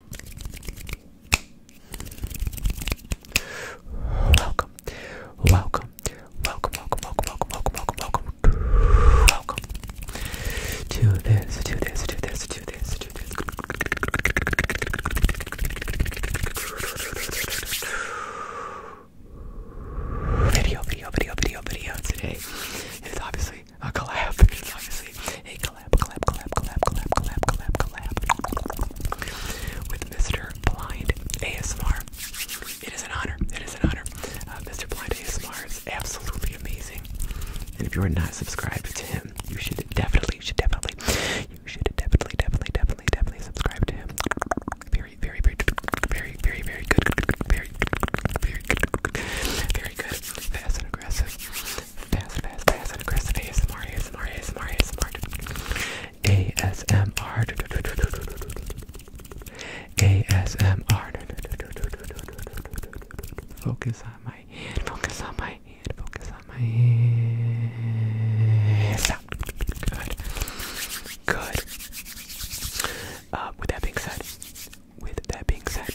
Welcome, welcome, welcome, welcome, welcome, welcome, welcome, welcome, welcome to this, to this, to this, to this, to this. Video, video, video, video, video. Today is obviously a collab. It's obviously a collab, collab, collab, collab, collab, collab, collab, collab with Mr. Blind ASMR. It is an honor. It is an honor. Uh, Mr. Blind ASMR is absolutely amazing. And if you are not subscribed to him, you should definitely, you should definitely, you should definitely, definitely, definitely, definitely subscribe to him. Very, very, very, very, very, very good, very, very good, very good, fast and aggressive. Fast, fast, fast and aggressive ASMR, ASMR, ASMR, ASMR. ASMR. ASMR. Focus on my hand, focus on my hand, focus on my hand. Stop. Good. Good. Uh, with that being said, with that being said,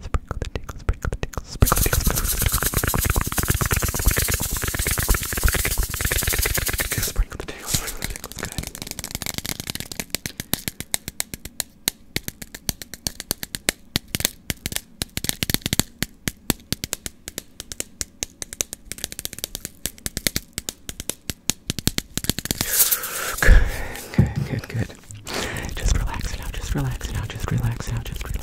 Sprinkle the tickle, sprinkle the tickle, sprinkle the tickle, sprinkle the tickle, sprinkle Good, good, good, good. Just relax now, just relax now, just relax now, just relax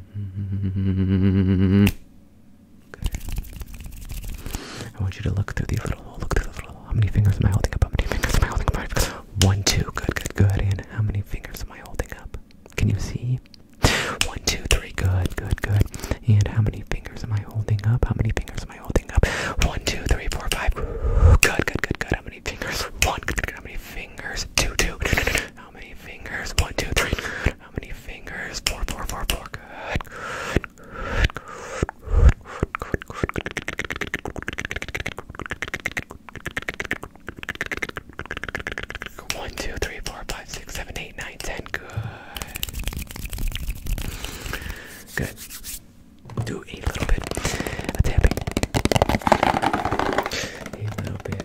Okay. I want you to look through these little Look through the little How many fingers am I holding up? How fingers am I holding up? One, two. Good, good, good. And how many fingers am I holding up? Can you see? One, two, three. Good, good, good. And how many fingers am I holding up? How many fingers am I holding up? One, two, three, four, five. Good, good, good, good. How many fingers? One, How many fingers? Two, two. How many fingers? One, two, three. Good. How many fingers? Four, four, four, four. Good. Good. One, two, three, four, five, six, seven, eight, nine, ten. Good. Good. Do a little bit of tapping. A little bit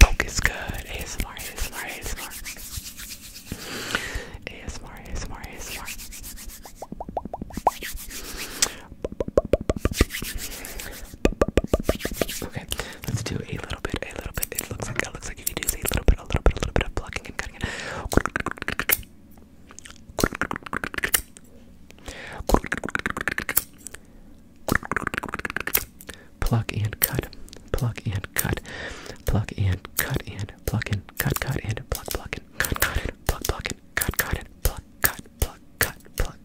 Focus good. ASMR, ASMR, ASMR. ASMR, ASMR, ASMR. Okay, let's do a little bit, a little bit. It looks like it looks like you can use a little bit, a little bit, a little bit of plucking and cutting Pluck and cut. Pluck and cut. Pluck and cut and pluck and cut cut and pluck pluck and cut cut and pluck pluck and cut cut and pluck cut pluck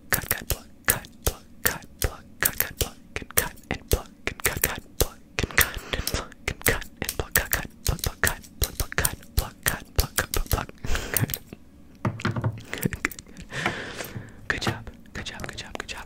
cut pluck cut cut pluck cut pluck cut pluck cut cut pluck and cut and pluck and cut cut pluck and cut and pluck and cut and pluck cut cut pluck pluck cut pluck pluck cut pluck cut pluck cut pluck pluck good good good good job good job good job good job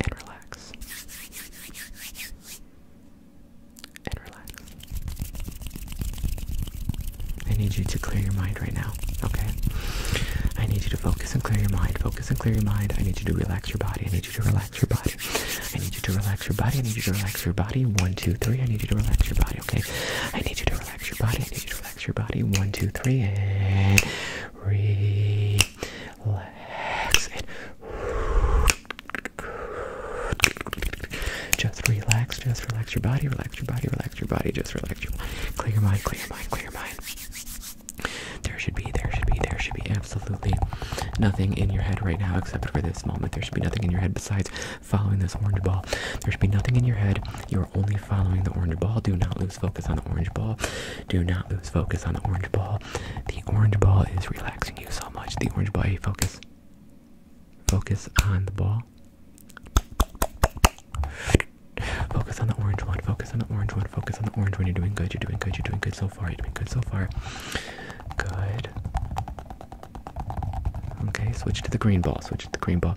and relax. And relax. I need you to clear your mind right now, okay? I need you to focus and clear your mind. Focus and clear your mind. I need you to relax your body. I need you to relax your body. I need you to relax your body. I need you to relax your body. One, two, three. I need you to relax your body, okay? I need you to relax your body. I need you to relax your body. One, two, three, relax Just relax, just relax your body, relax your body, relax your body, just relax your body. Clear your mind, clear your mind, clear your mind. There should be, there should be, there should be absolutely nothing in your head right now except for this moment. There should be nothing in your head besides following this orange ball. There should be nothing in your head you are only following the orange ball. Do not lose focus on the orange ball. Do not lose focus on the orange ball. The orange ball is relaxing you so much. The orange ball, hey, focus. Focus on the ball. Focus on the orange one. Focus on the orange one. Focus on the orange one. You're doing good. You're doing good. You're doing good so far. You're doing good so far. Good. Okay, switch to the green ball. Switch to the green ball.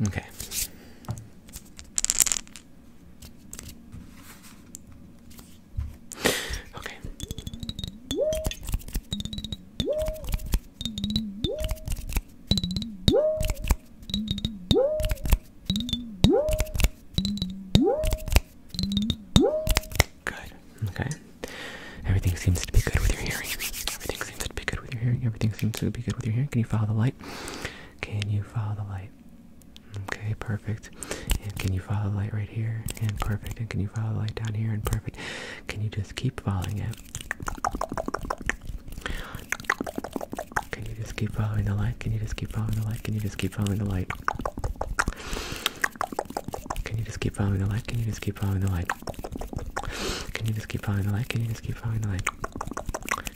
Okay. Okay. Good. Okay. Everything seems to be good with your hearing. Everything seems to be good with your hearing. Everything seems to be good with your hearing. Can you follow the light? Can you follow the light? Okay, perfect. And can you follow the light right here? And perfect. And can you follow the light down here? And perfect. Can you just keep following it? Can you just keep following the light? Can you just keep following the light? Can you just keep following the light? Can you just keep following the light? Can you just keep following the light? Can you just keep following the light? Can you just keep following the light?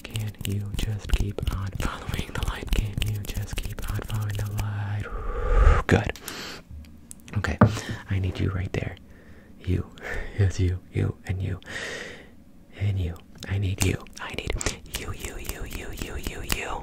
Can you just keep on following the light? Can you just keep on following the light? Good. Okay, I need you right there. You. Yes, you, you, and you. And you. I need you. I need you. you, you, you, you, you, you, you.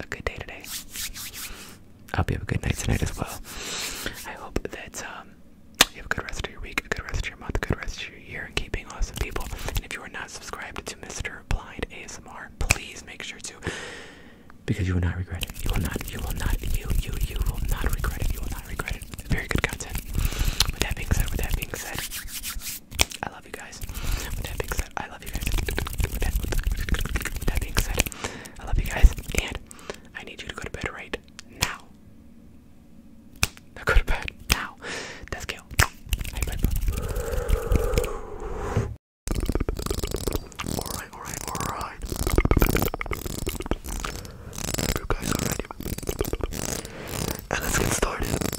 a good day today. I hope you have a good night tonight as well. I hope that um, you have a good rest of your week, a good rest of your month, a good rest of your year, and keeping awesome people. And if you are not subscribed to Mr. Blind ASMR, please make sure to, because you will not regret it. You will not. You will not. You you you will not regret it. You will not regret it. Very good content. With that being said, with that being said, I love you guys. that being said, I love you guys. that, being said, I love you guys. And I need you to go to bed right now. Now go to bed now. That's us Alright, alright, alright. You guys ready. And let's get started.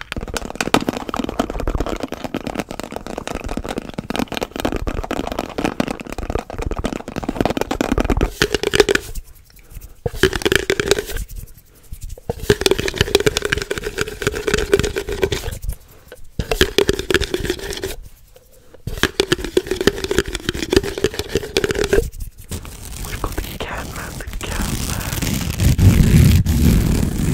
We've got the cat man, the cat man.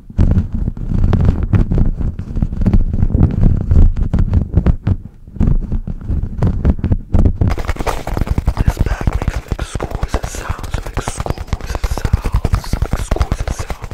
This bag makes some exquisite sounds, some exquisite sounds, some exquisite sounds.